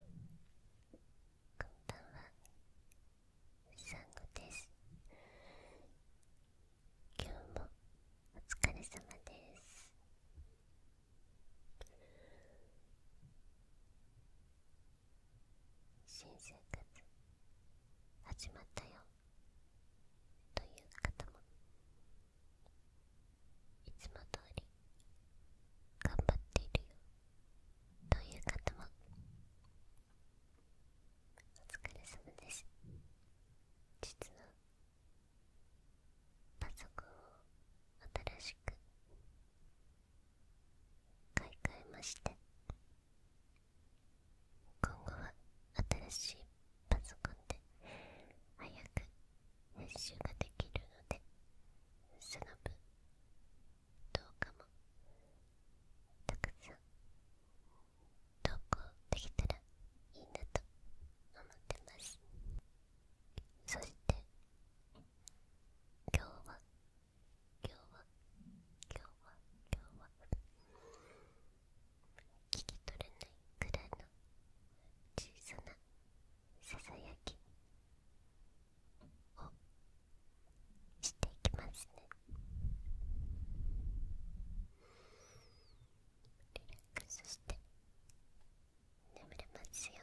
こんばんはサンゴです今日もお疲れ様です新生活始まったよという方もいつも通り頑張っているよという方もお疲れ様です実はパソコンを新しく買い替えまして今後は新しいパソコンで早く編集ができるのでその分どうかもたくさん投稿できたらいいなと思ってますそして今日は今日は今日は今日は聞き取れないくらいの小さなささやきをしていきますねリラックスして眠れますように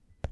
ました。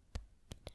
やめて。